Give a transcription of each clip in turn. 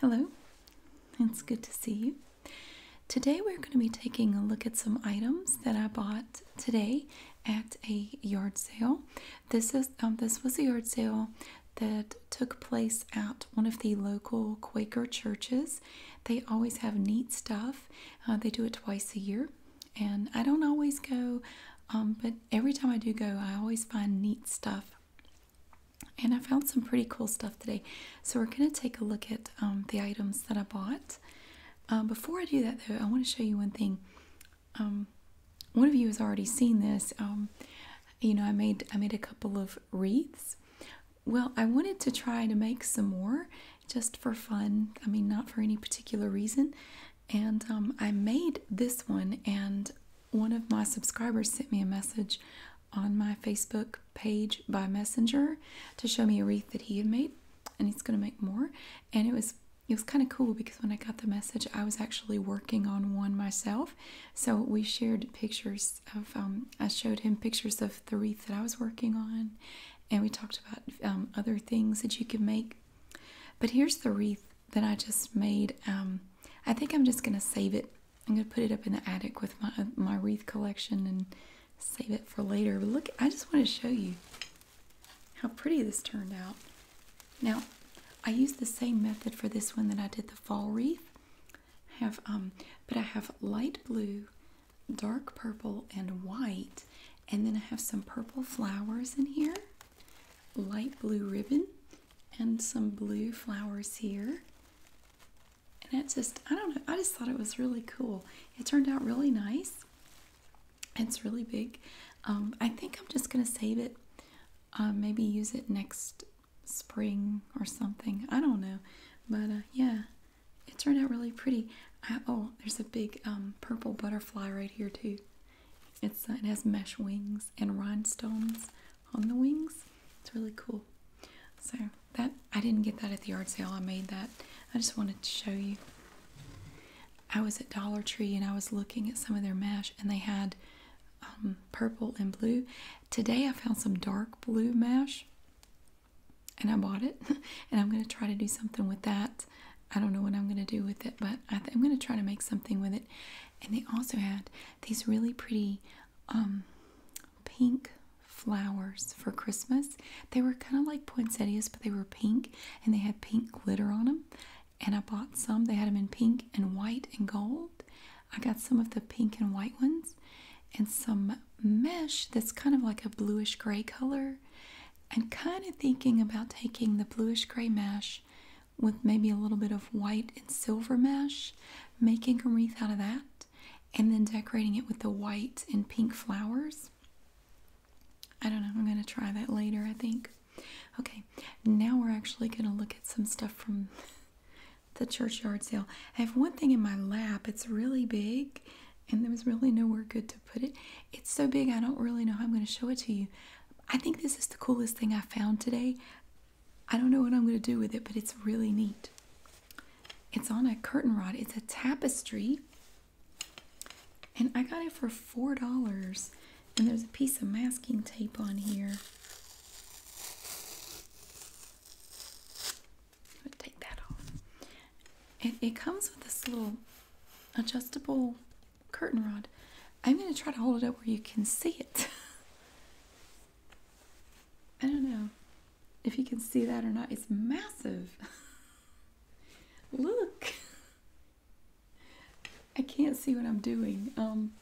Hello, it's good to see you. Today we're going to be taking a look at some items that I bought today at a yard sale. This is um, this was a yard sale that took place at one of the local Quaker churches. They always have neat stuff. Uh, they do it twice a year, and I don't always go, um, but every time I do go, I always find neat stuff. And I found some pretty cool stuff today. So we're going to take a look at um, the items that I bought. Um, before I do that, though, I want to show you one thing. Um, one of you has already seen this. you know, I made I made a couple of wreaths. Well, I wanted to try to make some more just for fun. I mean, not for any particular reason. And I made this one, and one of my subscribers sent me a message on my Facebook page by Messenger to show me a wreath that he had made, and he's going to make more. And it was it was kind of cool because when I got the message, I was actually working on one myself. So we shared pictures of um, I showed him pictures of the wreath that I was working on, and we talked about um, other things that you can make. But here's the wreath that I just made. Um, I think I'm just going to save it. I'm going to put it up in the attic with my my wreath collection and save it for later. But look, I just want to show you how pretty this turned out. Now, I used the same method for this one that I did the fall wreath. have um, but I have light blue, dark purple, and white, and then I have some purple flowers in here, light blue ribbon, and some blue flowers here. And it just, I don't know, I just thought it was really cool. It turned out really nice. It's really big. Um, I think I'm just going to save it, uh, maybe use it next spring or something. I don't know. But uh, yeah, it turned out really pretty. oh, there's a big um, purple butterfly right here too. It's, uh, it has mesh wings and rhinestones on the wings. It's really cool. So that I didn't get that at the yard sale. I made that. I just wanted to show you. I was at Dollar Tree and I was looking at some of their mesh and they had um, purple and blue. Today I found some dark blue mesh and I bought it and I'm going to try to do something with that. I don't know what I'm going to do with it, but I am going to try to make something with it and they also had these really pretty um, pink flowers for Christmas. They were kind of like poinsettias, but they were pink and they had pink glitter on them. And I bought some. They had them in pink and white and gold. I got some of the pink and white ones and some mesh that's kind of like a bluish gray color. And kind of thinking about taking the bluish gray mesh with maybe a little bit of white and silver mesh, making a wreath out of that, and then decorating it with the white and pink flowers. I don't know, I'm going to try that later, I think. Okay, now we're actually going to look at some stuff from the churchyard sale. I have one thing in my lap, it's really big, and there was really nowhere good to put it. It's so big, I don't really know how I'm going to show it to you. I think this is the coolest thing I found today. I don't know what I'm going to do with it, but it's really neat. It's on a curtain rod, it's a tapestry. And I got it for $4. And there's a piece of masking tape on here. take that off. It, it comes with this little adjustable curtain rod. I'm going to try to hold it up where you can see it. I don't know if you can see that or not. It's massive. Look. I can't see what I'm doing. Um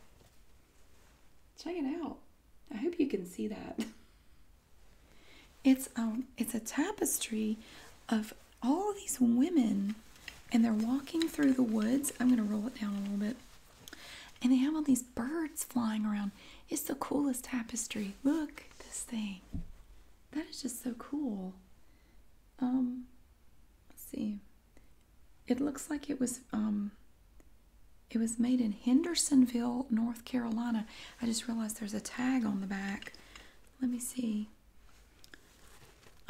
check it out. I hope you can see that. It's um it's a tapestry of all these women and they're walking through the woods. I'm going to roll it down a little bit. And they have all these birds flying around. It's the coolest tapestry. Look at this thing. That is just so cool. Um, let's see. It looks like it was um it was made in Hendersonville, North Carolina. I just realized there's a tag on the back. Let me see.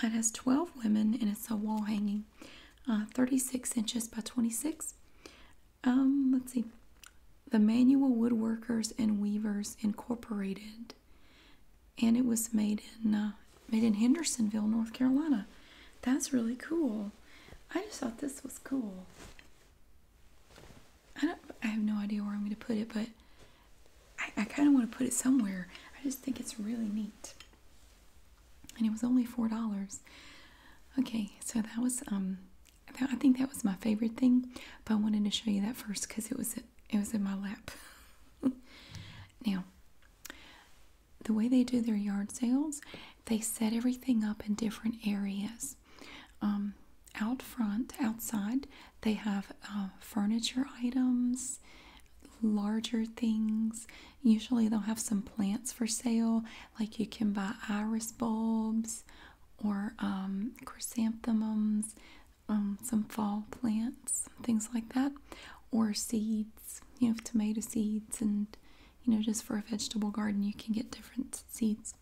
It has 12 women and it's a wall hanging. Uh, 36 inches by 26 um, let's see the manual woodworkers and weavers incorporated and it was made in uh, made in hendersonville north carolina that's really cool i just thought this was cool i don't i have no idea where i'm going to put it but I kind of want to put it somewhere i just think it's really neat and it was only four dollars. Okay, so that was um, I think that was my favorite thing, but I wanted to show you that first because it was it was in my lap. now, the way they do their yard sales, they set everything up in different areas. Um, out front, outside, they have uh, furniture items, larger things. Usually they'll have some plants for sale, like you can buy iris bulbs or um, chrysanthemums, um, some fall plants, things like that, or seeds, you know, tomato seeds, and you know, just for a vegetable garden, you can get different seeds.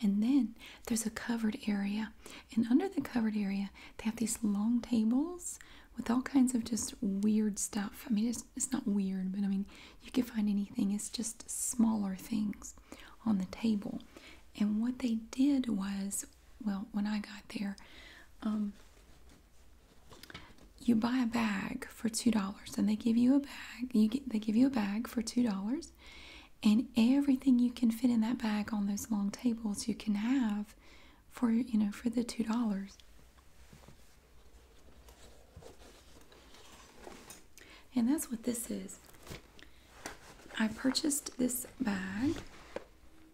And then there's a covered area, and under the covered area, they have these long tables with all kinds of just weird stuff. I mean, it's, it's not weird, but I mean, you can find anything. It's just smaller things on the table. And what they did was, well, when I got there, um, you buy a bag for two dollars, and they give you a bag. You get, they give you a bag for two dollars, and everything you can fit in that bag on those long tables you can have for you know for the two dollars and that's what this is i purchased this bag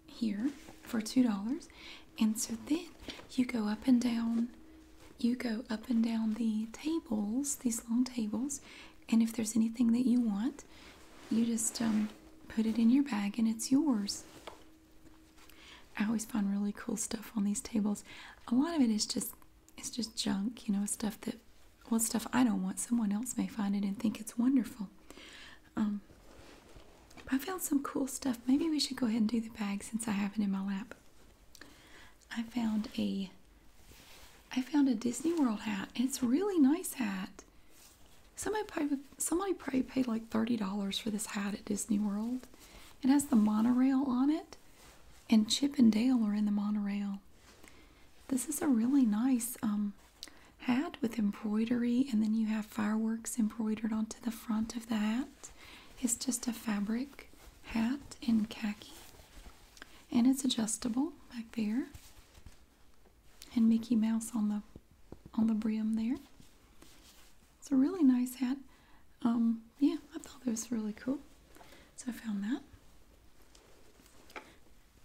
here for two dollars and so then you go up and down you go up and down the tables these long tables and if there's anything that you want you just um, put it in your bag and it's yours I always find really cool stuff on these tables. A lot of it is just it's just junk, you know, stuff that well stuff I don't want. Someone else may find it and think it's wonderful. Um, I found some cool stuff. Maybe we should go ahead and do the bag since I have it in my lap. I found a I found a Disney World hat. It's a really nice hat. Somebody probably, somebody probably paid like $30 for this hat at Disney World. It has the monorail on it, and Chip and Dale are in the monorail. This is a really nice um, hat with embroidery, and then you have fireworks embroidered onto the front of the hat. It's just a fabric hat in khaki, and it's adjustable back there. And Mickey Mouse on the on the brim there. It's a really nice hat. Um, yeah, I thought that was really cool. So I found that.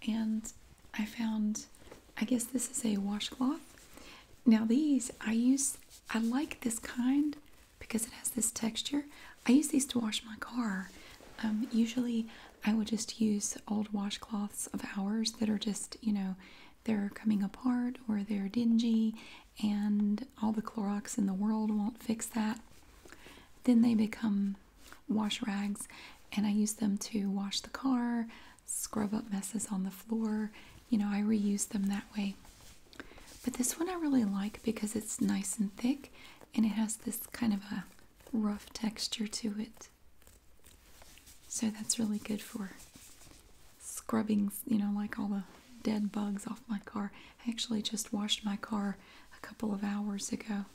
And I found, I guess this is a washcloth. Now these, I use, I like this kind because it has this texture. I use these to wash my car. Um, usually I would just use old washcloths of ours that are just, you know, they're coming apart or they're dingy and all the Clorox in the world won't fix that. Then they become wash rags and I use them to wash the car, scrub up messes on the floor. You know, I reuse them that way. But this one I really like because it's nice and thick and it has this kind of a rough texture to it. So that's really good for scrubbing, you know, like all the dead bugs off my car. I actually just washed my car a couple of hours ago,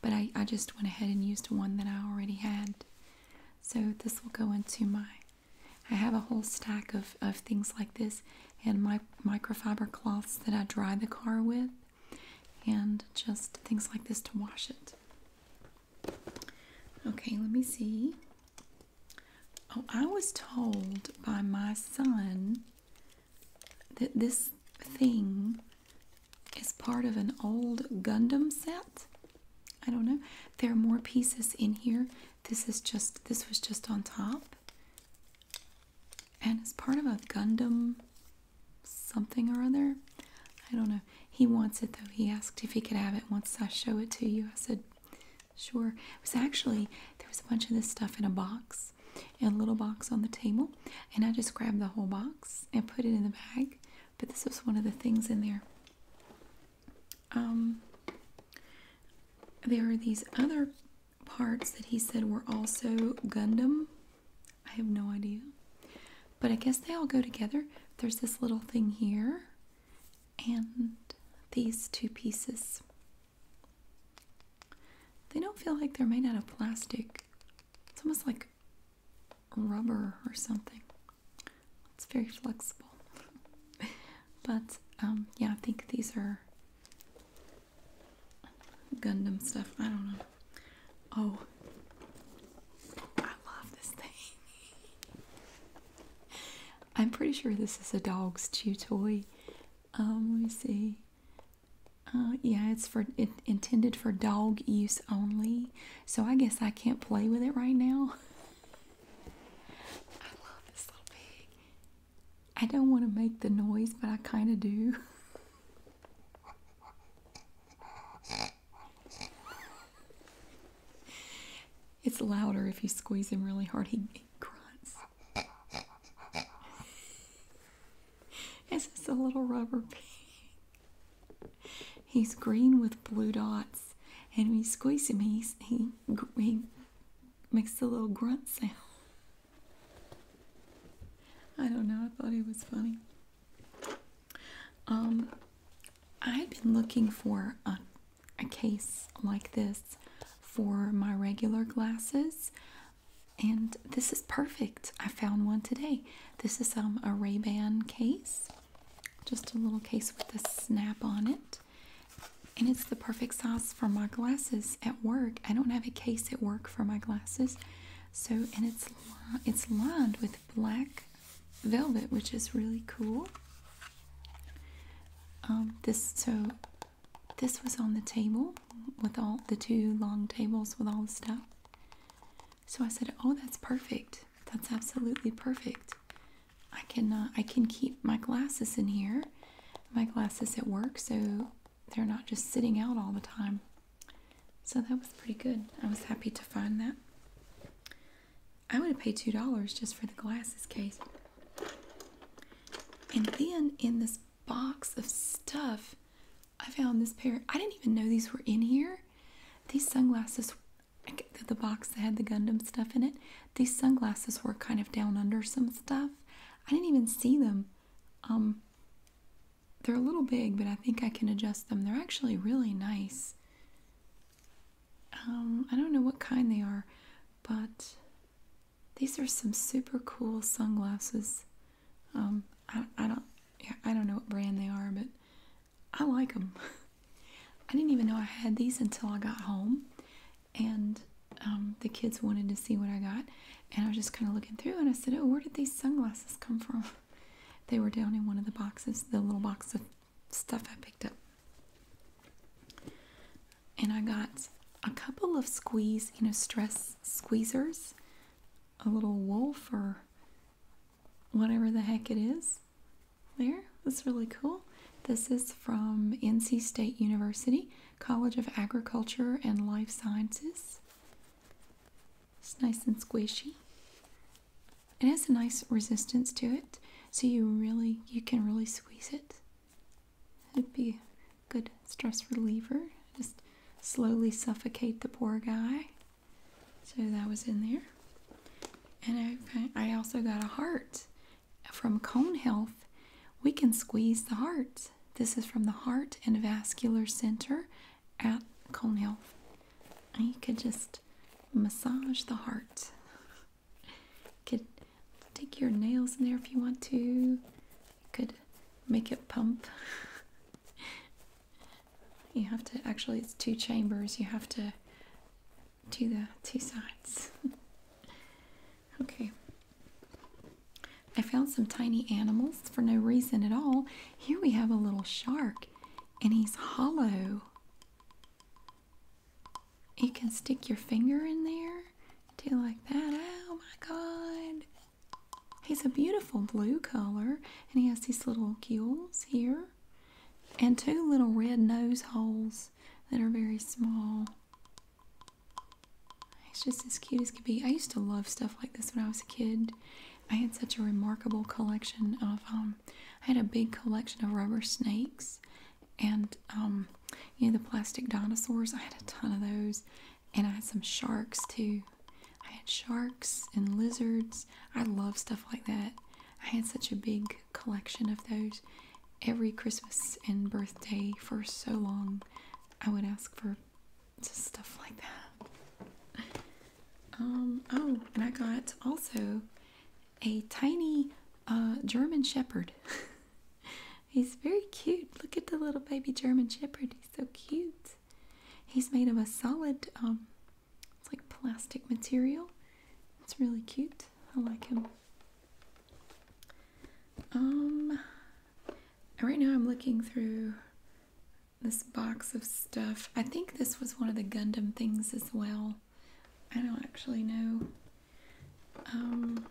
but I, just went ahead and used one that I already had. So this will go into my, I have a whole stack of, of things like this and my microfiber cloths that I dry the car with and just things like this to wash it. Okay, let me see. Oh, I was told by my son that this thing is part of an old Gundam set. I don't know. There are more pieces in here. This is just this was just on top. And it's part of a Gundam something or other. I don't know he wants it though. He asked if he could have it once I show it to you. I said, sure. It was actually, there was a bunch of this stuff in a box, in a little box on the table, and I just grabbed the whole box and put it in the bag. But this was one of the things in there. Um, there are these other parts that he said were also Gundam. I have no idea. But I guess they all go together. There's this little thing here and these two pieces. They don't feel like they're made out of plastic. It's almost like rubber or something. It's very flexible. but um, yeah, I think these are Gundam stuff. I don't know. Oh, I love this thing. I'm pretty sure this is a dog's chew toy. Um, let me see. Uh, yeah, it's for intended for dog use only. So I guess I can't play with it right now. I love this little pig. I don't want to make the noise, but I kind of do. It's louder if you squeeze him really hard. He, grunts. It's just a little rubber pig. He's green with blue dots, and when you squeeze him, he's, he he makes a little grunt sound. I don't know. I thought he was funny. Um, I've been looking for a, case like this for my regular glasses, and this is perfect. I found one today. This is um, a Ray-Ban case, just a little case with a snap on it. And it's the perfect size for my glasses at work. I don't have a case at work for my glasses. So, and it's, it's lined with black velvet, which is really cool. Um, this so this was on the table with all the two long tables with all the stuff. So I said, "Oh, that's perfect. That's absolutely perfect. I can uh, I can keep my glasses in here, my glasses at work, so they're not just sitting out all the time." So that was pretty good. I was happy to find that. I would have paid two dollars just for the glasses case. And then in this box of stuff, I found this pair. I didn't even know these were in here. These sunglasses, the box that had the Gundam stuff in it, these sunglasses were kind of down under some stuff. I didn't even see them. Um, they're a little big, but I think I can adjust them. They're actually really nice. Um, I don't know what kind they are, but these are some super cool sunglasses. Um, I, don't, yeah, I don't know what brand they are, but I like them. I didn't even know I had these until I got home, and um, the kids wanted to see what I got, and I was just kind of looking through, and I said, "Oh, where did these sunglasses come from?" they were down in one of the boxes, the little box of stuff I picked up. And I got a couple of squeeze, you know, stress squeezers, a little wolf or whatever the heck it is. There, that's really cool. This is from NC State University, College of Agriculture and Life Sciences. It's nice and squishy. It has a nice resistance to it, so you really you can really squeeze it. It'd be a good stress reliever. Just slowly suffocate the poor guy. So that was in there. And I, I also got a heart from Cone Health. We can squeeze the heart. This is from the Heart and Vascular Center at Cone Health. You could just massage the heart. could take your nails in there if you want to. You could make it pump. you have to actually it's two chambers. You have to do the two sides. okay. I found some tiny animals for no reason at all. Here we have a little shark and he's hollow. You can stick your finger in there, do like that. Oh my god. He's a beautiful blue color, and he has these little gills here, and two little red nose holes that are very small. He's just as cute as could be. I used to love stuff like this when I was a kid. I had such a remarkable collection of um, I had a big collection of rubber snakes and um, you know the plastic dinosaurs. I had a ton of those, and I had some sharks too. I had sharks and lizards. I love stuff like that. I had such a big collection of those. Every Christmas and birthday for so long, I would ask for stuff like that. Um, oh, and I got also a tiny uh, German Shepherd. He's very cute. Look at the little baby German Shepherd. He's so cute. He's made of a solid, um, it's like plastic material. It's really cute. I like him. Um, right now I'm looking through this box of stuff. I think this was one of the Gundam things as well. I don't actually know. Um,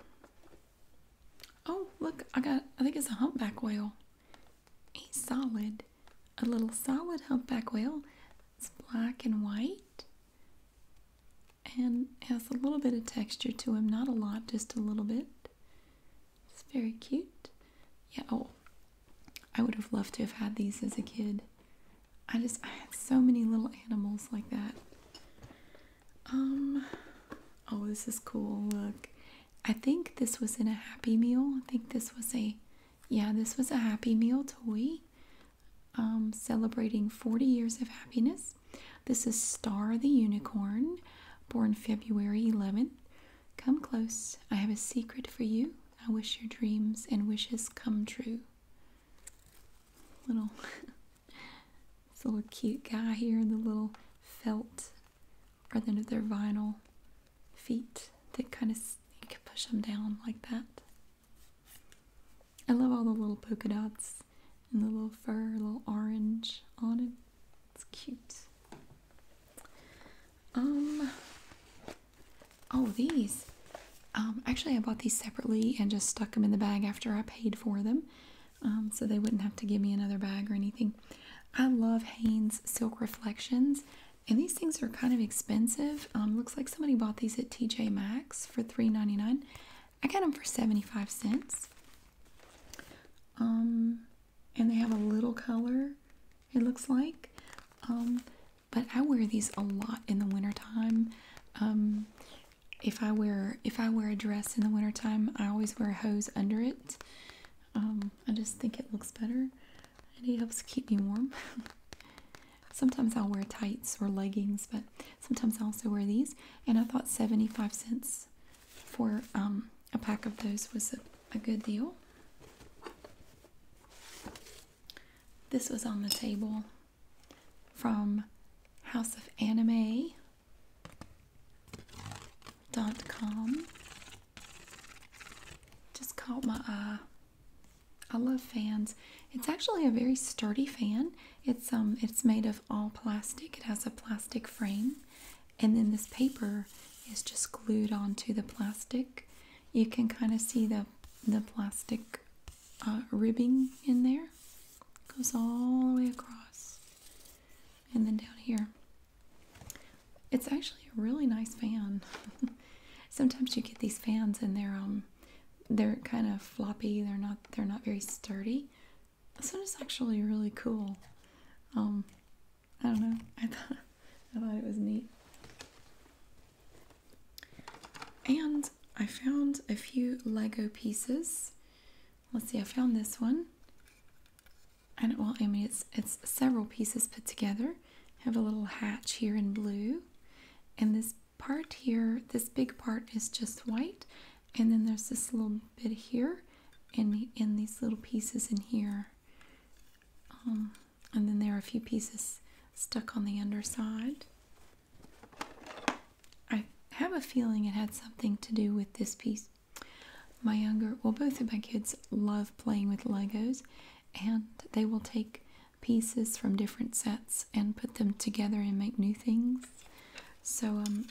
oh, look, I got, I think it's a humpback whale. A solid. A little solid humpback whale. It's black and white and has a little bit of texture to him. Not a lot, just a little bit. It's very cute. Yeah, oh, I would have loved to have had these as a kid. I just I had so many little animals like that. Um oh this is cool. Look. I think this was in a Happy Meal. I think this was a yeah, this was a Happy Meal toy. Um celebrating 40 years of happiness. This is Star the Unicorn, born February 11th. Come close. I have a secret for you. I wish your dreams and wishes come true little little cute guy here, the little felt or then their vinyl feet that kind of push them down like that. I love all the little polka dots and the little fur, little orange on it. It's cute. Um, Oh, these. Um, actually, I bought these separately and just stuck them in the bag after I paid for them, um, so they wouldn't have to give me another bag or anything. I love Hanes Silk Reflections, and these things are kind of expensive. Um, looks like somebody bought these at TJ Maxx for $3.99. I got them for 75 cents. Um, and they have a little color, it looks like but I wear these a lot in the wintertime. Um, if I wear if I wear a dress in the wintertime, I always wear a hose under it. Um, I just think it looks better and it helps keep me warm. sometimes I'll wear tights or leggings, but sometimes I also wear these. And I thought 75 cents for um, a pack of those was a good deal. This was on the table from House of Anime dot com just caught my eye i love fans it's actually a very sturdy fan it's um it's made of all plastic it has a plastic frame and then this paper is just glued onto the plastic you can kind of see the the plastic uh, ribbing in there goes all the way across and then down here it's actually a really nice fan sometimes you get these fans and they're um they're kind of floppy they're not they're not very sturdy this one is actually really cool um i don't know i thought I thought it was neat. And I found a few Lego pieces. Let's see, I found this one. And well, I mean, it's, it's several pieces put together. I have a little hatch here in blue. And this part here, this big part is just white. And then there's this little bit here and in these little pieces in here. Um, and then there are a few pieces stuck on the underside. I have a feeling it had something to do with this piece. My younger, well, both of my kids love playing with Legos, and they will take pieces from different sets and put them together and make new things. So, um,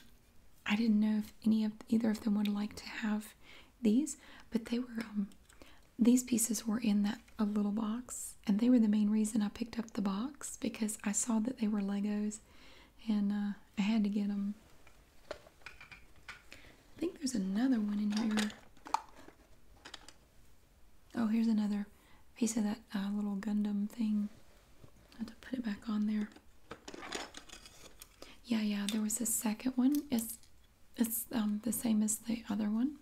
I didn't know if any of either of them would like to have these, but they were um, these pieces were in that a little box and they were the main reason i picked up the box because i saw that they were legos and uh, i had to get them i think there's another one in here oh here's another piece of that uh, little gundam thing i have to put it back on there yeah yeah there was a second one it's it's um, the same as the other one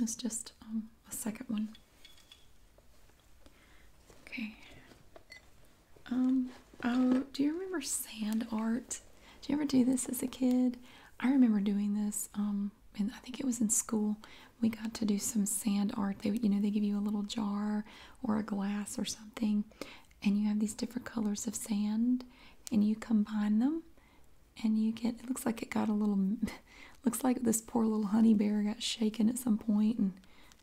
it's just um, a second one. Okay. Um. Oh, do you remember sand art? Do you ever do this as a kid? I remember doing this. Um, and I think it was in school. We got to do some sand art. They, you know, they give you a little jar or a glass or something, and you have these different colors of sand, and you combine them, and you get it looks like it got a little looks like this poor little honey bear got shaken at some point and,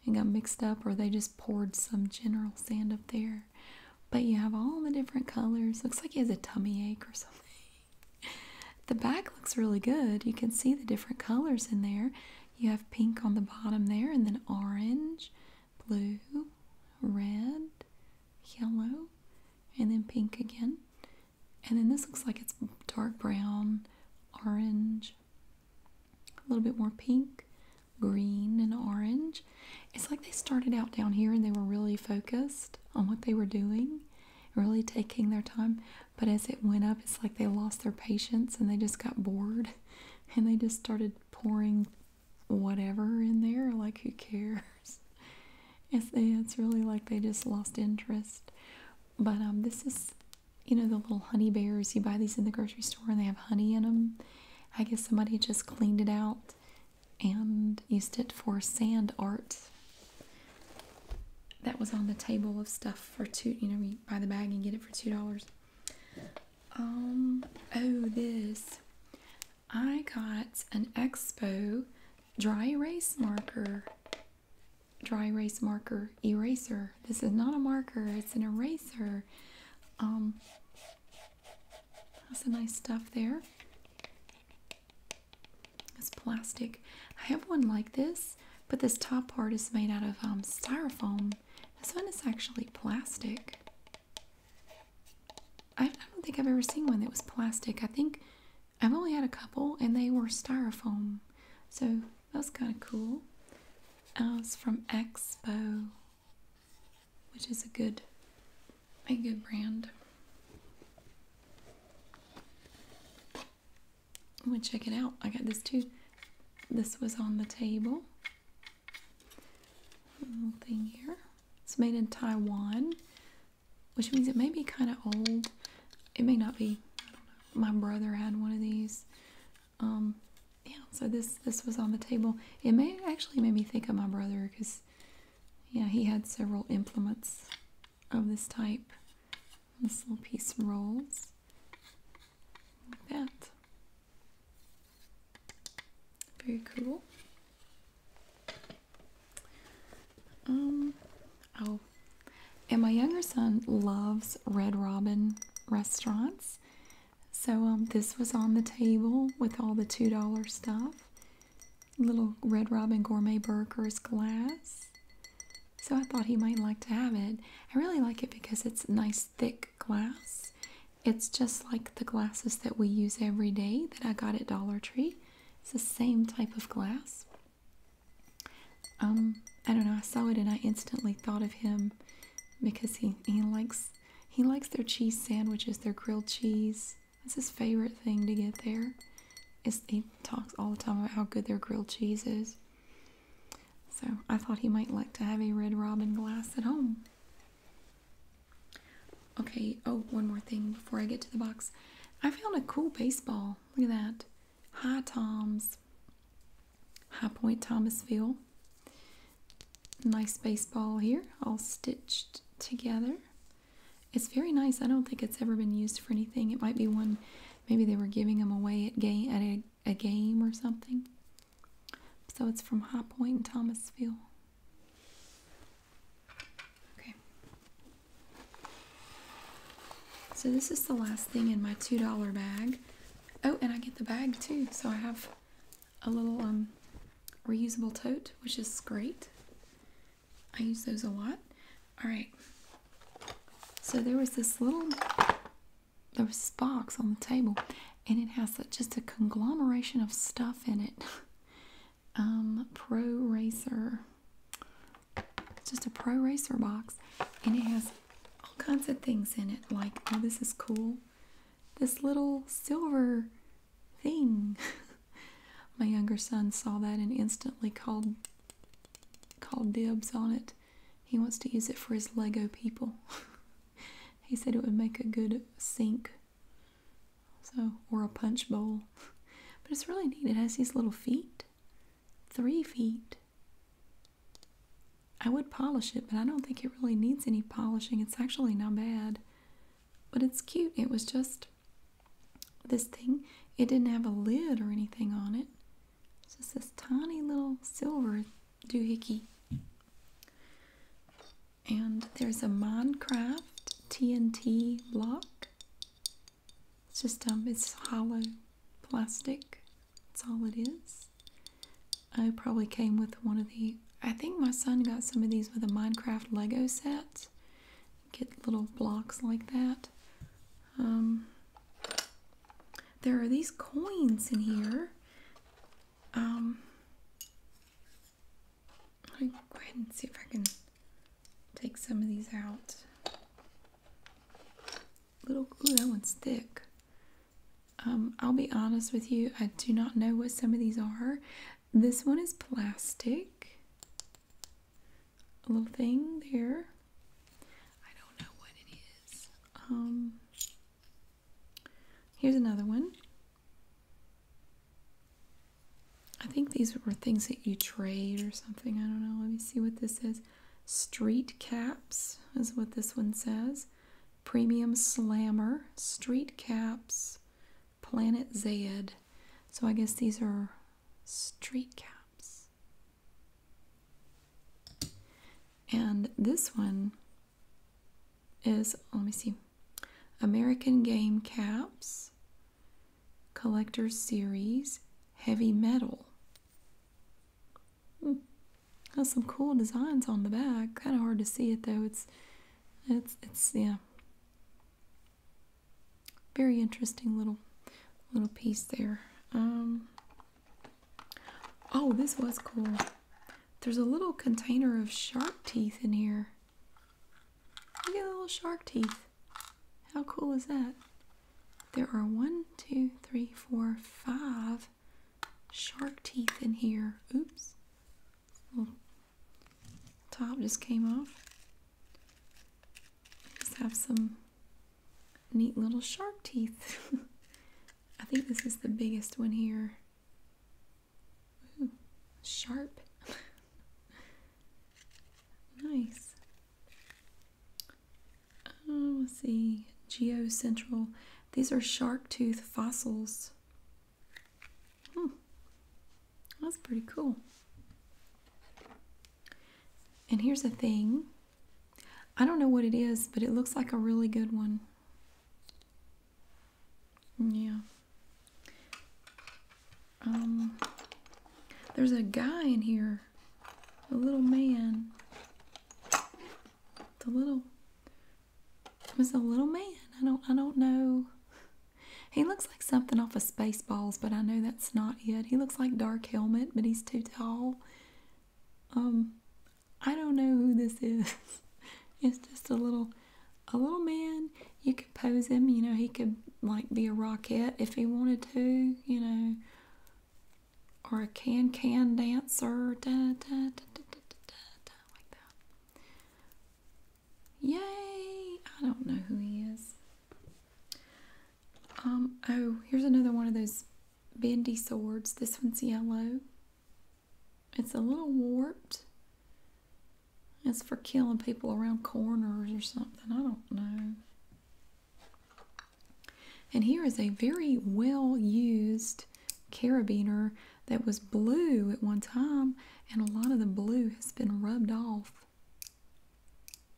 it got mixed up or they just poured some general sand up there but you have all the different colors looks like he has a tummy ache or something the back looks really good you can see the different colors in there you have pink on the bottom there and then orange blue red yellow and then pink again. And then this looks like it's dark brown, orange, a little bit more pink, green, and orange. It's like they started out down here and they were really focused on what they were doing, really taking their time. But as it went up, it's like they lost their patience and they just got bored and they just started pouring whatever in there. Like, who cares? It's, it's really like they just lost interest. But um, this is, you know, the little honey bears. You buy these in the grocery store and they have honey in them. I guess somebody just cleaned it out and used it for sand art. That was on the table of stuff for two, you know, you buy the bag and get it for $2. Um, oh, this. I got an Expo dry erase marker. Dry erase marker eraser. This is not a marker, it's an eraser. Um, that's some nice stuff there. It's plastic. I have one like this, but this top part is made out of um, styrofoam. This one is actually plastic. I, don't think I've ever seen one that was plastic. I think I've only had a couple, and they were styrofoam. So that's kind of cool. Uh, it's from Expo, which is a good, a good brand. I'm gonna check it out. I got this too. This was on the table. Little thing here. It's made in Taiwan, which means it may be kind of old. It may not be. My brother had one of these. Um, yeah, so this this was on the table. It may actually made me think of my brother because, yeah, he had several implements of this type. This little piece rolls like that. Very cool. Um, oh, and my younger son loves Red Robin restaurants. So um, this was on the table with all the $2 stuff. Little Red Robin gourmet burgers glass. So I thought he might like to have it. I really like it because it's nice thick glass. It's just like the glasses that we use every day that I got at Dollar Tree. It's the same type of glass. Um, I don't know. I saw it and I instantly thought of him because he he likes he likes their cheese sandwiches, their grilled cheese. That's his favorite thing to get there. he talks all the time about how good their grilled cheese is. So I thought he might like to have a Red Robin glass at home. Okay, oh, one more thing before I get to the box. I found a cool baseball. Look at that. High Toms. High Point Thomasville. Nice baseball here, all stitched together. It's very nice. I don't think it's ever been used for anything. It might be one, maybe they were giving them away at game at a, a game or something. So it's from High Point in Thomasville. Okay. So this is the last thing in my $2 bag. Oh, and I get the bag too. So I have a little um, reusable tote, which is great. I use those a lot. All right. So there was this little there was this box on the table and it has just a conglomeration of stuff in it. um, Pro Racer. It's just a Pro Racer box, and it has all kinds of things in it. Like, oh, this is cool. This little silver thing. My younger son saw that and instantly called called dibs on it. He wants to use it for his Lego people. he said it would make a good sink so or a punch bowl. But it's really neat. It has these little feet. Three feet. I would polish it, but I don't think it really needs any polishing. It's actually not bad. But it's cute. It was just this thing. It didn't have a lid or anything on it. It's just this tiny little silver doohickey. And there's a Minecraft TNT block. It's just um, it's hollow plastic. That's all it is. I probably came with one of the. I think my son got some of these with a Minecraft Lego set. Get little blocks like that. Um, there are these coins in here. Um, let me go ahead and see if I can take some of these out. Little, ooh, that one's thick. Um, I'll be honest with you, I do not know what some of these are. This one is plastic. A little thing there. I don't know what it is. Um, here's another one. I think these were things that you trade or something. I don't know. Let me see what this says. Street caps is what this one says. Premium Slammer, Street Caps, Planet Zed. So I guess these are street caps. And this one is, let me see, American Game Caps, Collector's Series, Heavy Metal. Hmm. Has some cool designs on the back. Kind of hard to see it though. It's, it's, it's yeah. Very interesting little, little piece there. Um, oh, this was cool. There's a little container of shark teeth in here. Look at the little shark teeth. How cool is that? There are one, two, three, four, five shark teeth in here. Oops. Little top just came off. Just have some neat little shark teeth. I think this is the biggest one here sharp. nice. Oh, let's see. Geocentral. These are shark tooth fossils. Hmm. That's pretty cool. And here's a thing. I don't know what it is, but it looks like a really good one. Yeah. Um, there's a guy in here, a little man. The little it was a little man. I don't I don't know. He looks like something off of Spaceballs, but I know that's not it. He looks like Dark Helmet, but he's too tall. Um, I don't know who this is. it's just a little a little man. You could pose him, you know, he could like be a rockette if he wanted to, you know, or a can can dancer, Yay! I don't know who he is. Um, oh, here's another one of those bendy swords. This one's yellow. It's a little warped. It's for killing people around corners or something. I don't know. And here is a very well used carabiner that was blue at one time, and a lot of the blue has been rubbed off.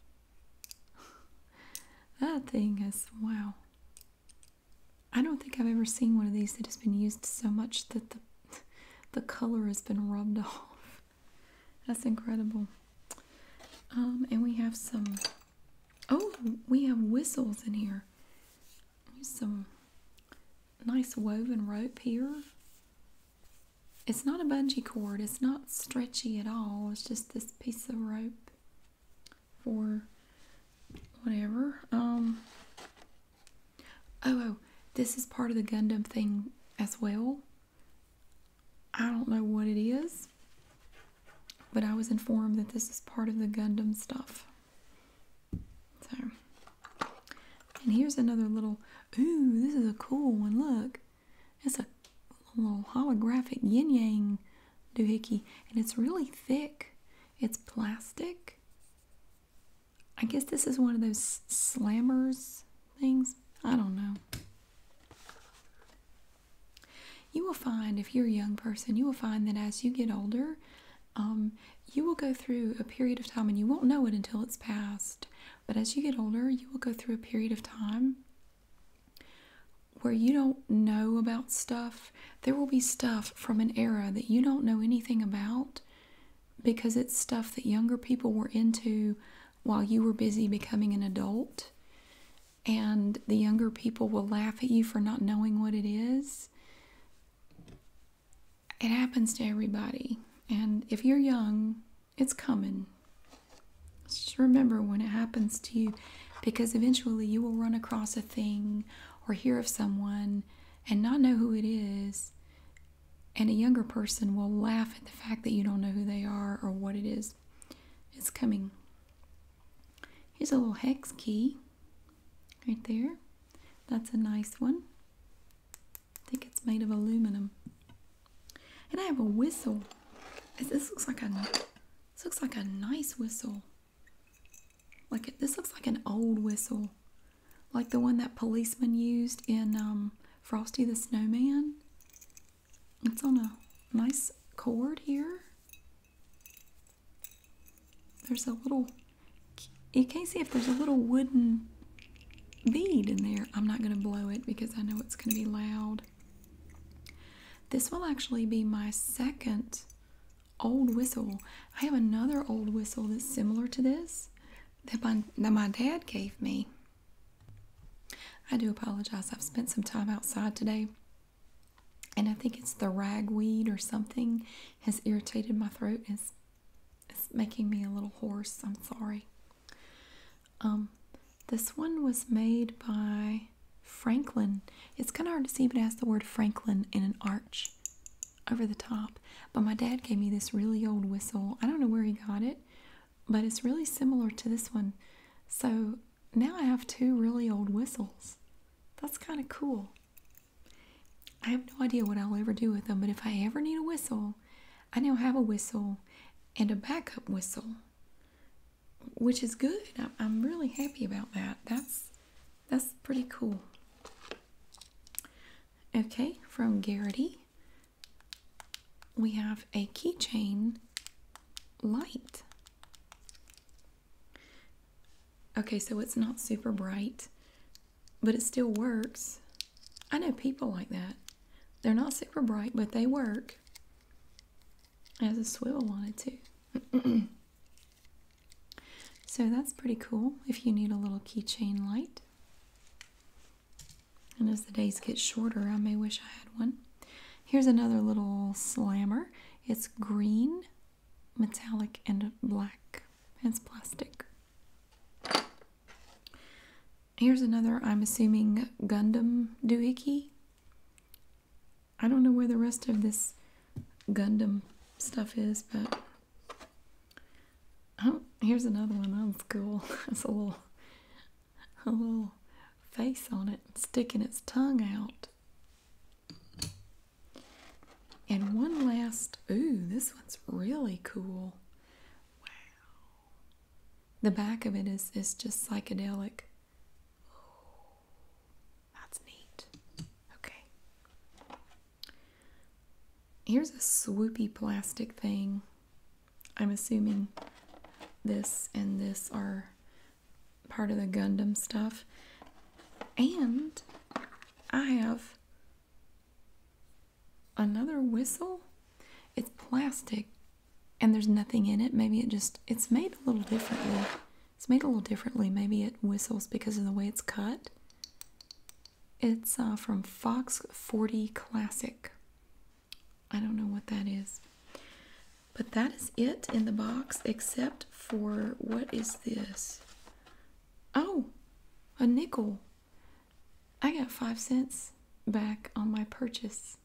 that thing is wow. I don't think I've ever seen one of these that has been used so much that the the color has been rubbed off. That's incredible. Um, and we have some. Oh, we have whistles in here. Here's some nice woven rope here. It's not a bungee cord. It's not stretchy at all. It's just this piece of rope for whatever. Um, Oh, oh, this is part of the Gundam thing as well. I don't know what it is, but I was informed that this is part of the Gundam stuff. So, and here's another little. Ooh, this is a cool one. Look, it's a little holographic yin yang doohickey, and it's really thick. It's plastic, I guess this is one of those slammers things. I don't know. You will find, if you're a young person, you will find that as you get older, um, you will go through a period of time and you won't know it until it's past. But as you get older, you will go through a period of time where you don't know about stuff. There will be stuff from an era that you don't know anything about because it's stuff that younger people were into while you were busy becoming an adult. And the younger people will laugh at you for not knowing what it is. It happens to everybody. And if you're young, it's coming. Just remember when it happens to you because eventually you will run across a thing or hear of someone and not know who it is and a younger person will laugh at the fact that you don't know who they are or what it is is coming. Here's a little hex key right there. That's a nice one. I think it's made of aluminum. And I have a whistle. This looks like a this looks like a nice whistle. Like it, this looks like an old whistle like the one that policemen used in um, Frosty the Snowman. It's on a nice cord here. There's a little, you can't see if there's a little wooden bead in there. I'm not going to blow it because I know it's going to be loud. This will actually be my second old whistle. I have another old whistle that's similar to this that my, dad gave me. I do apologize. I've spent some time outside today, and I think it's the ragweed or something has irritated my throat. It's, it's making me a little hoarse. I'm sorry. Um, this one was made by Franklin. It's kind of hard to see, but it has the word Franklin in an arch over the top. But my dad gave me this really old whistle. I don't know where he got it, but it's really similar to this one. So now I have two really old whistles. That's kind of cool. I have no idea what I'll ever do with them, but if I ever need a whistle, I now have a whistle and a backup whistle, which is good. I'm really happy about that. That's that's pretty cool. Okay, from Garrity. We have a keychain light. Okay, so it's not super bright, but it still works. I know people like that. They're not super bright, but they work. As a swivel wanted to. so that's pretty cool if you need a little keychain light. And as the days get shorter, I may wish I had one. Here's another little slammer. It's green, metallic, and black. It's plastic. Here's another, I'm assuming, Gundam doohickey. I don't know where the rest of this Gundam stuff is, but Oh, here's another one. That was cool. That's a little, a little face on it, sticking its tongue out. And one last. Ooh, this one's really cool. Wow. The back of it is is just psychedelic. that's neat. Okay. Here's a swoopy plastic thing. I'm assuming this and this are part of the Gundam stuff. And I have another whistle. It's plastic and there's nothing in it. Maybe it just, it's made a little differently. It's made a little differently. Maybe it whistles because of the way it's cut. It's uh, from Fox 40 Classic. I don't know what that is. But that is it in the box except for what is this? Oh, a nickel. I got five cents back on my purchase.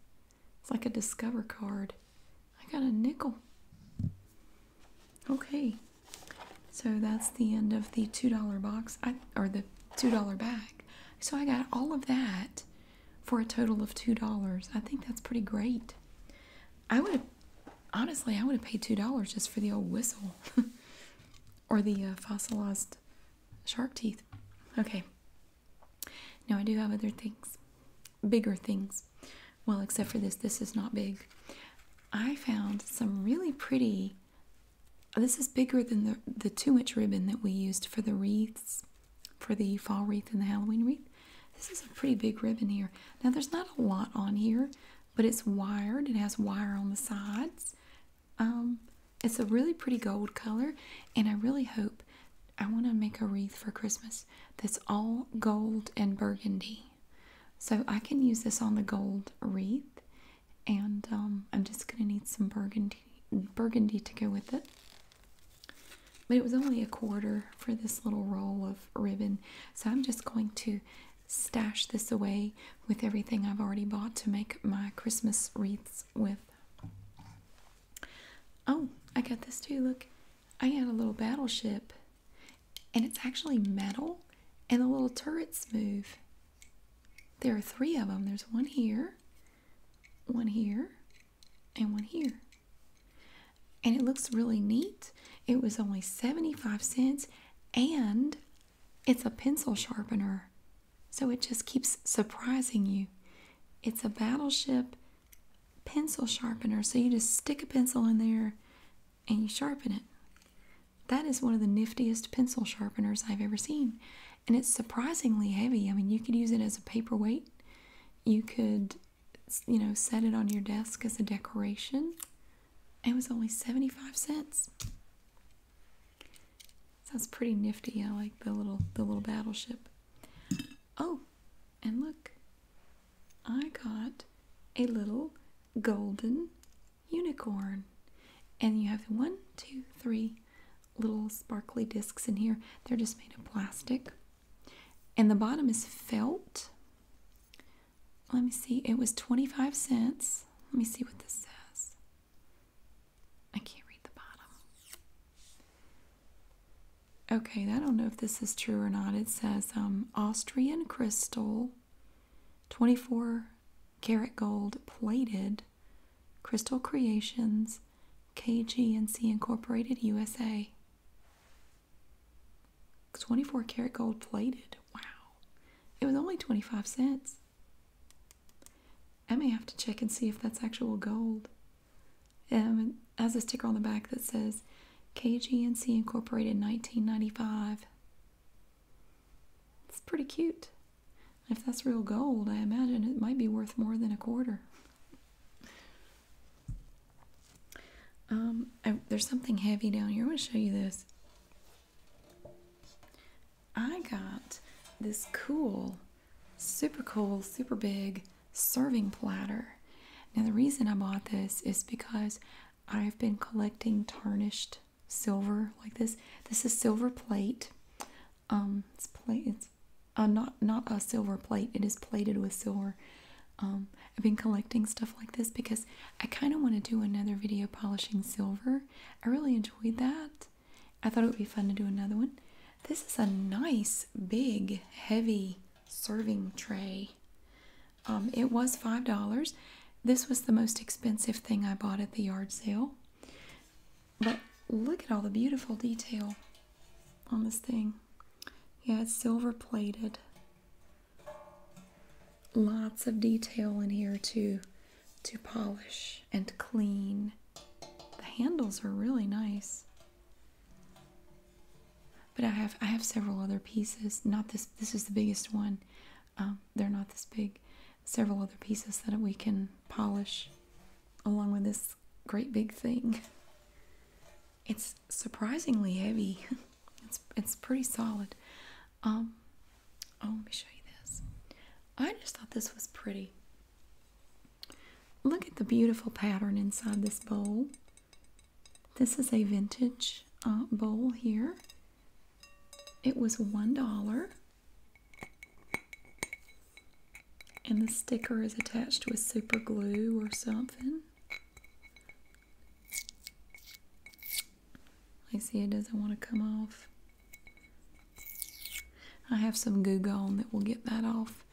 It's like a Discover card. I got a nickel. Okay. So that's the end of the $2 box or the $2 bag. So I got all of that for a total of $2. I think that's pretty great. I would have, honestly, I would have paid $2 just for the old whistle or the uh, fossilized shark teeth. Okay. Now I do have other things, bigger things. Well, except for this, this is not big. I found some really pretty this is bigger than the, the two inch ribbon that we used for the wreaths, for the fall wreath and the Halloween wreath. This is a pretty big ribbon here. Now, there's not a lot on here, but it's wired. It has wire on the sides. Um, it's a really pretty gold color, and I really hope I want to make a wreath for Christmas that's all gold and burgundy. So I can use this on the gold wreath and um, I'm just gonna need some burgundy burgundy to go with it. But it was only a quarter for this little roll of ribbon, so I'm just going to stash this away with everything I've already bought to make my Christmas wreaths with. Oh, I got this too. Look, I had a little battleship, and it's actually metal, and the little turrets move. There are three of them. There's one here, one here, and one here. And it looks really neat. It was only 75 cents and it's a pencil sharpener. So it just keeps surprising you. It's a battleship pencil sharpener. So you just stick a pencil in there and you sharpen it. That is one of the niftiest pencil sharpeners I've ever seen. And it's surprisingly heavy. I mean, you could use it as a paperweight. You could, you know, set it on your desk as a decoration. It was only 75 cents. Sounds pretty nifty. I like the little the little battleship. Oh, and look. I got a little golden unicorn. And you have one, two, three little sparkly discs in here. They're just made of plastic. And the bottom is felt. Let me see. It was 25 cents. Let me see what this says. I can't read the bottom. Okay, I don't know if this is true or not. It says um, Austrian crystal, 24 Carat Gold Plated, Crystal Creations, KGNC Incorporated USA. 24 karat gold plated. Wow. It was only 25 cents. I may have to check and see if that's actual gold. Um, it has a sticker on the back that says KGNC Incorporated 1995. It's pretty cute. If that's real gold, I imagine it might be worth more than a quarter. Um, there's something heavy down here. I want to show you this. I got this cool, super cool, super big serving platter. Now, the reason I bought this is because I've been collecting tarnished silver like this. This is silver plate. Um, it's plate. It's uh, not not a silver plate. It is plated with silver. Um, I've been collecting stuff like this because I kind of want to do another video polishing silver. I really enjoyed that. I thought it would be fun to do another one. This is a nice, big, heavy serving tray. Um, it was $5. This was the most expensive thing I bought at the yard sale. But look at all the beautiful detail on this thing. Yeah, it's silver plated. Lots of detail in here to, to polish and clean. The handles are really nice. But I have I have several other pieces. Not this this is the biggest one. Um, they're not this big. Several other pieces that we can polish along with this great big thing. It's surprisingly heavy. It's it's pretty solid. Um, oh, let me show you this. I just thought this was pretty. Look at the beautiful pattern inside this bowl. This is a vintage uh, bowl here. It was $1. And the sticker is attached with super glue or something. I see it doesn't want to come off. I have some goo gone that will get that off.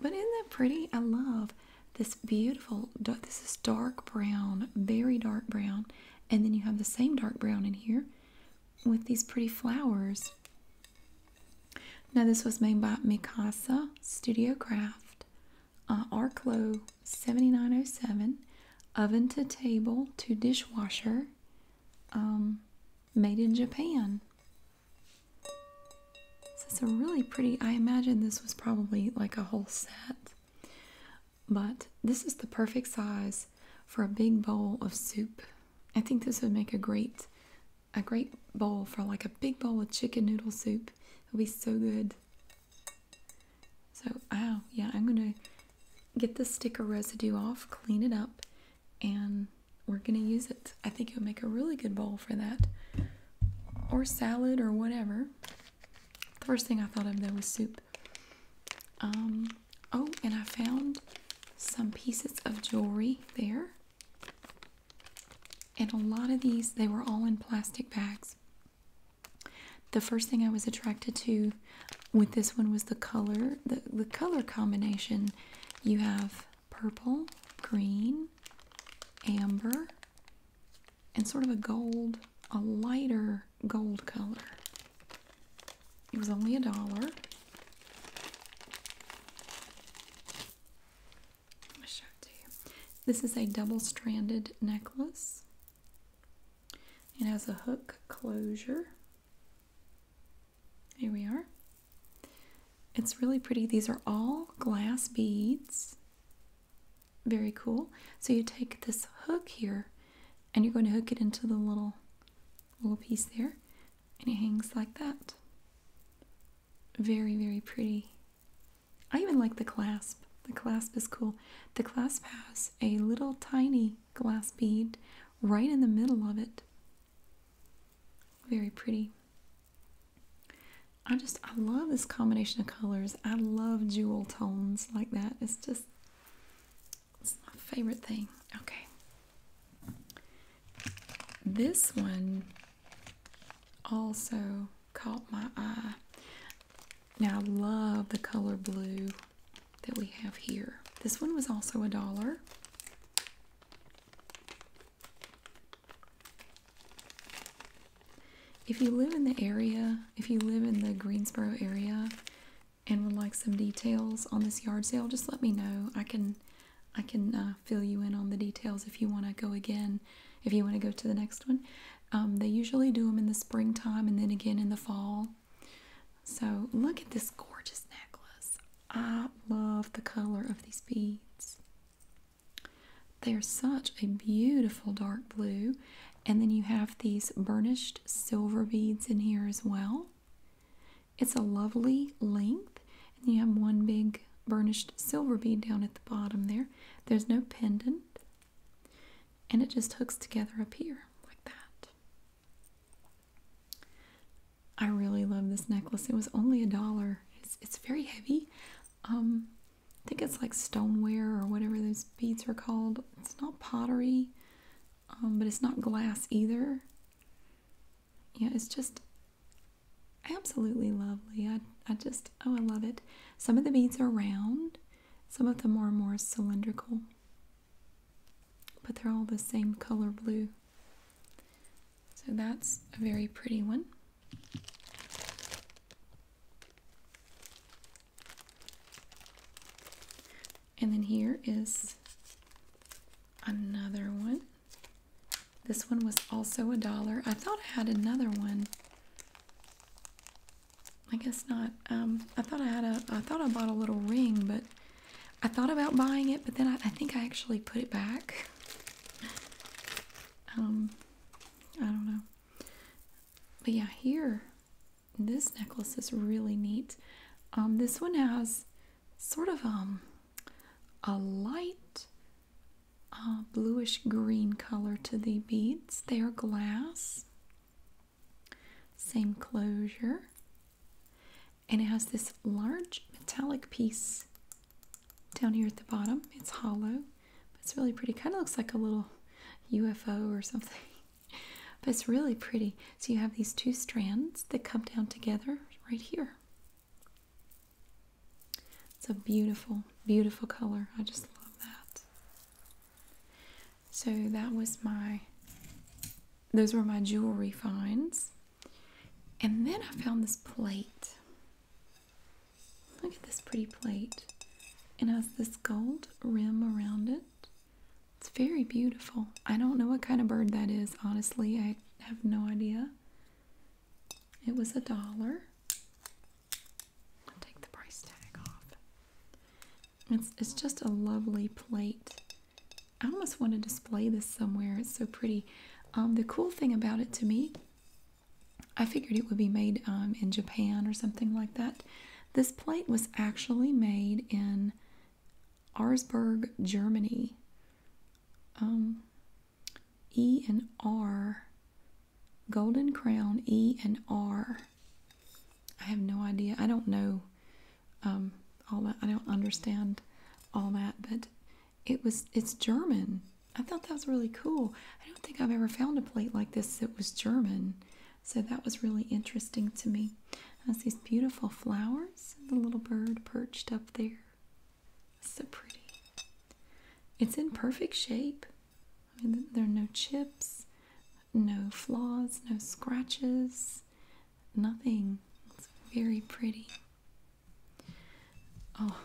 But isn't that pretty? I love this beautiful, this is dark brown, very dark brown. And then you have the same dark brown in here with these pretty flowers. Now this was made by Mikasa Studio Craft, uh, Arclo 7907, oven to table to dishwasher, um, made in Japan. This is a really pretty, I imagine this was probably like a whole set. But this is the perfect size for a big bowl of soup. I think this would make a great a great bowl for like a big bowl of chicken noodle soup. It would be so good. So, ow, yeah, I'm going to get the sticker residue off, clean it up, and we're going to use it. I think it'll make a really good bowl for that. Or salad or whatever. The first thing I thought of though was soup. Um, oh, and I found some pieces of jewelry there. And a lot of these, they were all in plastic bags. The first thing I was attracted to with this one was the color, the, the color combination. You have purple, green, amber, and sort of a gold, a lighter gold color. It was only a dollar. I'm show it to you. This is a double-stranded necklace. It has a hook closure. Here we are. It's really pretty. These are all glass beads. Very cool. So you take this hook here and you're going to hook it into the little little piece there and it hangs like that very very pretty i even like the clasp the clasp is cool the clasp has a little tiny glass bead right in the middle of it very pretty i just i love this combination of colors i love jewel tones like that it's just it's my favorite thing. Okay. This one also caught my eye. Now I love the color blue that we have here. This one was also a dollar. If you live in the area, if you live in the Greensboro area, and would like some details on this yard sale, just let me know. I can I can uh, fill you in on the details if you want to go again, if you want to go to the next one. Um, they usually do them in the springtime and then again in the fall. So look at this gorgeous necklace. I love the color of these beads. They are such a beautiful dark blue and then you have these burnished silver beads in here as well. It's a lovely length. And you have one big burnished silver bead down at the bottom there. There's no pendant. And it just hooks together up here like that. I really love this necklace. It was only a dollar. It's, very heavy. Um, I think it's like stoneware or whatever those beads are called. It's not pottery. Um, but it's not glass either. Yeah, it's just absolutely lovely. I, I just, oh, I love it. Some of the beads are round, some of them are more cylindrical, but they're all the same color blue. So that's a very pretty one. And then here is another one. This one was also a dollar. I thought I had another one. I guess not. Um, I thought I had a. I thought I bought a little ring, but I thought about buying it, but then I, think I actually put it back. Um, I don't know. But yeah, here this necklace is really neat. Um, this one has sort of um, a light uh, bluish green color to the beads. They are glass, same closure, and it has this large metallic piece down here at the bottom. It's hollow, but it's really pretty. Kind of looks like a little UFO or something. But it's really pretty. So you have these two strands that come down together right here. It's a beautiful, beautiful color. I just love that. So that was my, those were my jewelry finds. And then I found this plate. Look at this pretty plate. It has this gold rim around it. It's very beautiful. I don't know what kind of bird that is, honestly. I have no idea. It was a dollar. take the price tag off. It's, it's just a lovely plate. I almost want to display this somewhere. It's so pretty. Um, the cool thing about it to me, I figured it would be made um, in Japan or something like that. This plate was actually made in Arzburg, Germany. Um, e and R, Golden Crown E and R. I have no idea. I don't know um, all that. I don't understand all that, but it was it's German. I thought that was really cool. I don't think I've ever found a plate like this that was German. So that was really interesting to me. Has these beautiful flowers, the little bird perched up there. So pretty. It's in perfect shape. there are no chips, no flaws, no scratches, nothing. It's very pretty. Oh,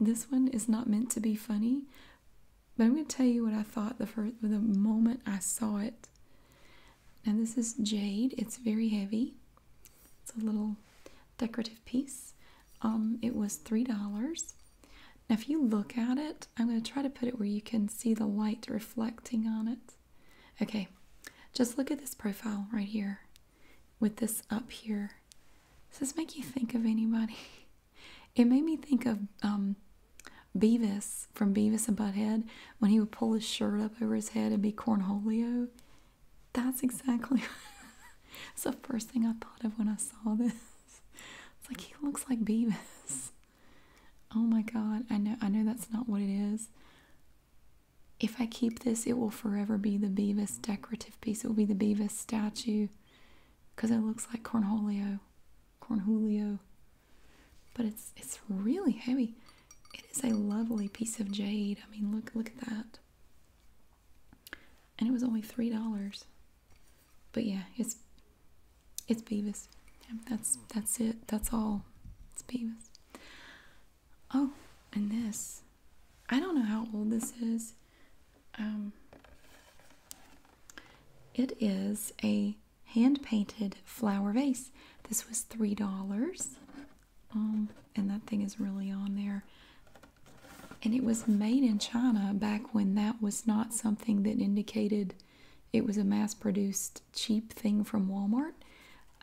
this one is not meant to be funny, but I'm going to tell you what I thought the first the moment I saw it. Now this is jade. It's very heavy. It's a little decorative piece. Um, it was three dollars. Now if you look at it, I'm going to try to put it where you can see the light reflecting on it. Okay, just look at this profile right here with this up here. Does this make you think of anybody? It made me think of um, Beavis from Beavis and Butthead when he would pull his shirt up over his head and be Cornholio. That's exactly it's the first thing I thought of when I saw this. It's like he looks like Beavis. Oh my god, I know I know that's not what it is. If I keep this, it will forever be the Beavis decorative piece. It will be the Beavis statue because it looks like Cornholio. Cornholio. But it's it's really heavy. It is a lovely piece of jade. I mean, look look at that. And it was only three dollars. But yeah, it's it's Beavis. That's that's it. That's all. It's Beavis. Oh, and this. I don't know how old this is. Um, it is a hand painted flower vase. This was three dollars, um, and that thing is really on there. And it was made in China back when that was not something that indicated it was a mass produced cheap thing from Walmart.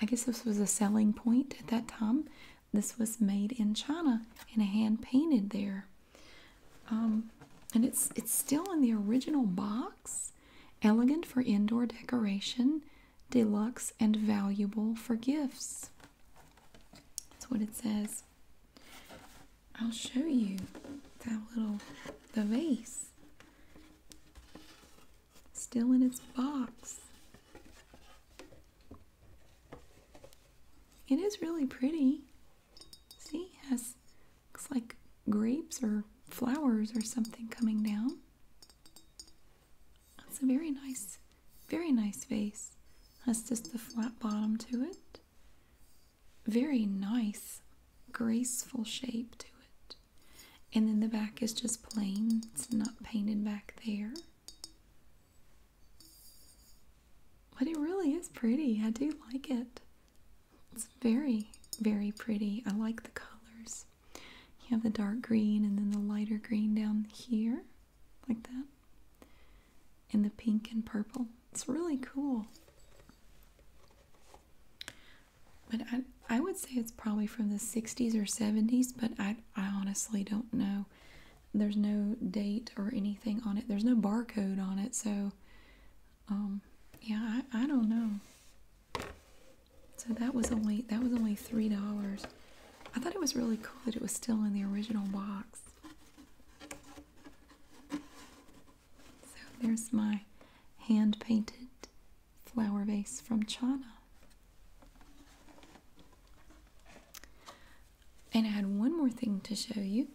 I guess this was a selling point at that time. This was made in China and hand painted there. Um, and it's it's still in the original box. Elegant for indoor decoration, deluxe and valuable for gifts. That's what it says. I'll show you that little the vase. Still in its box. It is really pretty. See, it has looks like grapes or flowers or something coming down. It's a very nice, very nice vase. Has just the flat bottom to it. Very nice, graceful shape to it. And then the back is just plain. It's not painted back there. But it really is pretty. I do like it. It's very, very pretty. I like the colors. You have the dark green and then the lighter green down here, like that. And the pink and purple. It's really cool. But I, I would say it's probably from the 60s or 70s, but I, I honestly don't know. There's no date or anything on it. There's no barcode on it, so um yeah I, I don't know so that was only that was only three dollars I thought it was really cool that it was still in the original box so there's my hand painted flower vase from China and I had one more thing to show you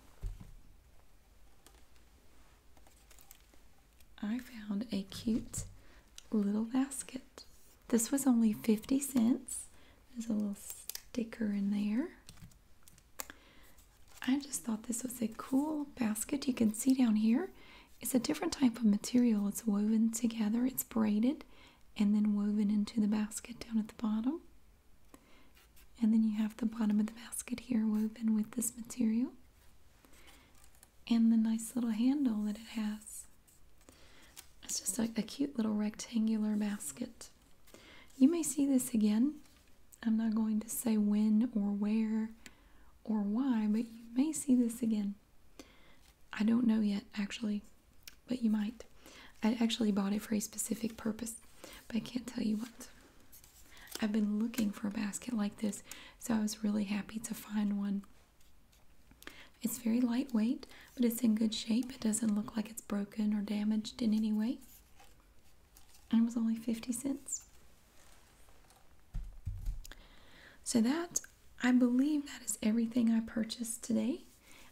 I found a cute little basket. This was only 50 cents. There's a little sticker in there. I just thought this was a cool basket. You can see down here, it's a different type of material. It's woven together, it's braided, and then woven into the basket down at the bottom. And then you have the bottom of the basket here woven with this material. And the nice little handle that it has. It's just like a cute little rectangular basket. You may see this again. I'm not going to say when or where or why, but you may see this again. I don't know yet, actually, but you might. I actually bought it for a specific purpose, but I can't tell you what. I've been looking for a basket like this, so I was really happy to find one. It's very lightweight, but it's in good shape. It doesn't look like it's broken or damaged in any way. And it was only 50 cents. So that, I believe that is everything I purchased today.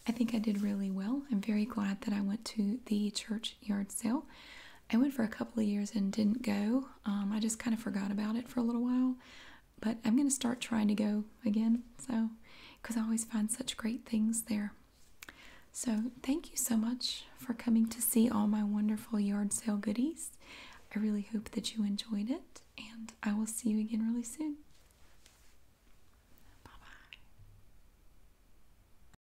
I think I did really well. I'm very glad that I went to the church yard sale. I went for a couple of years and didn't go. Um, I just kind of forgot about it for a little while, but I'm going to start trying to go again. So, because I always find such great things there. So, thank you so much for coming to see all my wonderful yard sale goodies. I really hope that you enjoyed it, and I will see you again really soon. Bye bye.